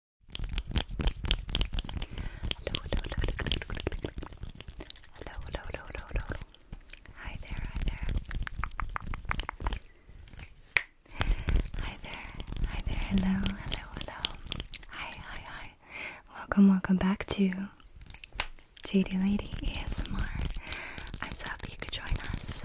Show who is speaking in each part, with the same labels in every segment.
Speaker 1: Hello, hello, hello, hello, hello, hello, hello, hello. Hi there, hi there. Hi there, hi there, hello, hello, hello. Hi, hi, hi. Welcome, welcome back to JD Lady ASMR. I'm so happy you could join us.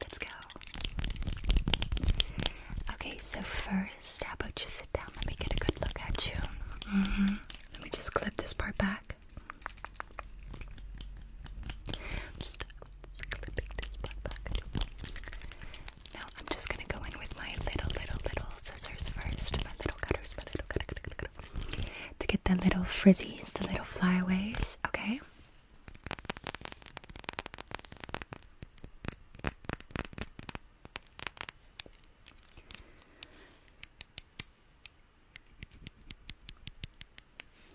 Speaker 1: Let's go. Okay, so first, how about you sit down? Let me get a good look at you. Mm -hmm. Let me just clip this part back. I'm just clipping this part back. Now I'm just gonna go in with my little, little, little scissors first. My little cutters, my little cutter, cutter, cutter, cutter. to get the little frizzies, the little flyaways. Okay.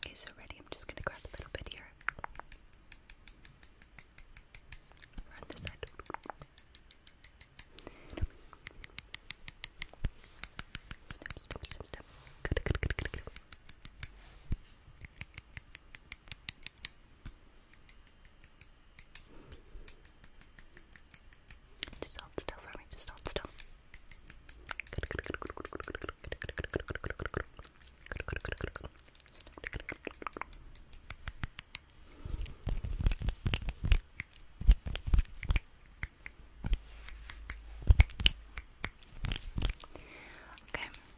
Speaker 1: Okay, so ready. I'm just gonna grab a little bit here. on this side. Snip, snip, snip, snip. Good, good, good, good, good. Just hold still for me, just hold still. Okay,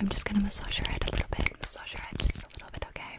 Speaker 1: I'm just gonna massage your head a little bit, massage your head just a little bit, okay?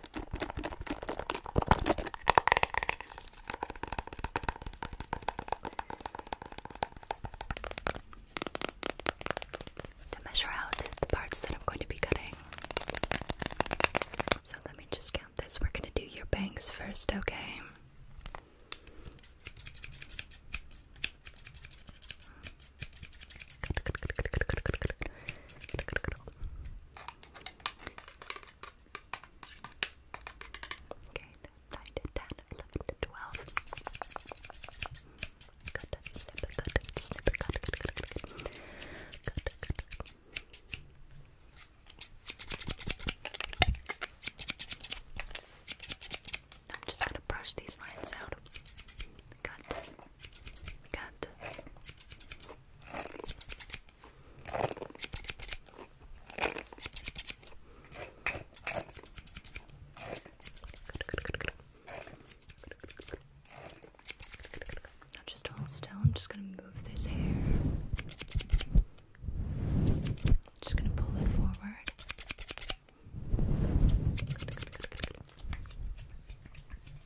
Speaker 1: To measure out the parts that I'm going to be cutting. So let me just count this. We're going to do your bangs first, okay? Okay, 9 to 10, 11 to 12. Good, snip it, good, good, good, good, good, good. Good, good. I'm just gonna brush these lines out. Cut. Cut. Now just hold still. I'm just gonna move this hair. Just gonna pull it forward.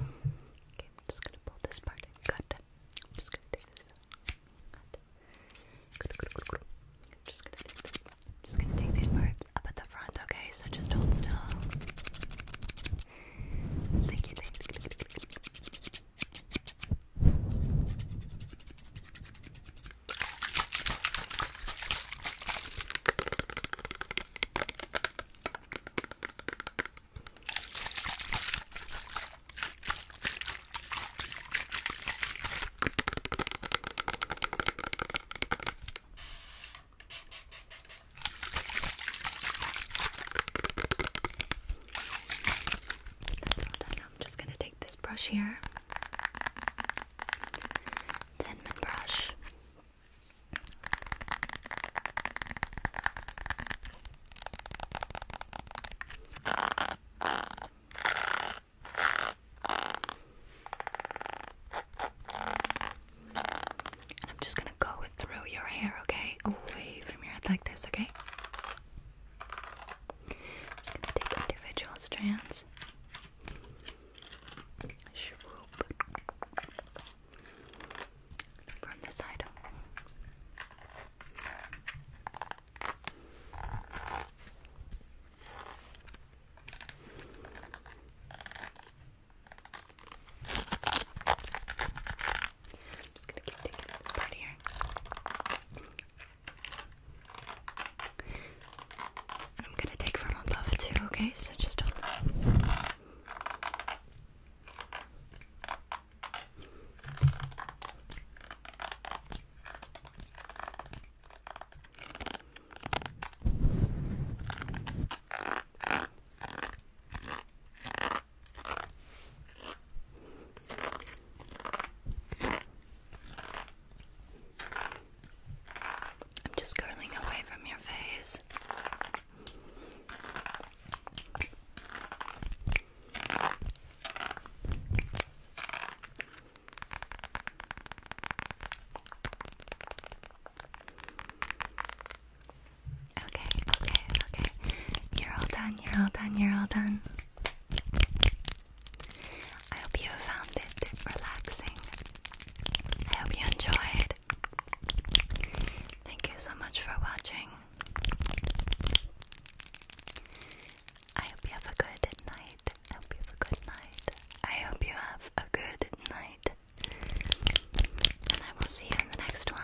Speaker 1: Okay, I'm just gonna pull this part and I'm just gonna take this cut. I'm just gonna take this. I'm just gonna take these parts up at the front, okay? So just hold still. Thank you, thank you. I'm just going to take this brush here Denman brush. I'm just gonna go through your hair, okay? Away from your head like this, okay? just gonna take individual strands. From the side. I'm just gonna keep taking this part here. I'm gonna take from above too, okay? So just hold on. I'm just curling away from your face. Okay, okay, okay. You're all done, you're all done, you're all done. I hope you found it relaxing. I hope you enjoyed. Thank you so much for watching. I hope you have a good night. I hope you have a good night. I hope you have a good night. And I will see you in the next one.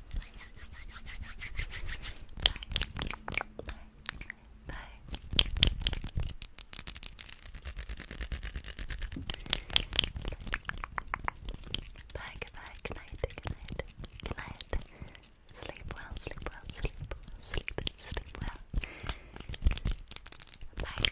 Speaker 1: Bye. Bye, goodbye, good night, good night, good night. Sleep well, sleep well, sleep well, sleep and sleep well. Bye.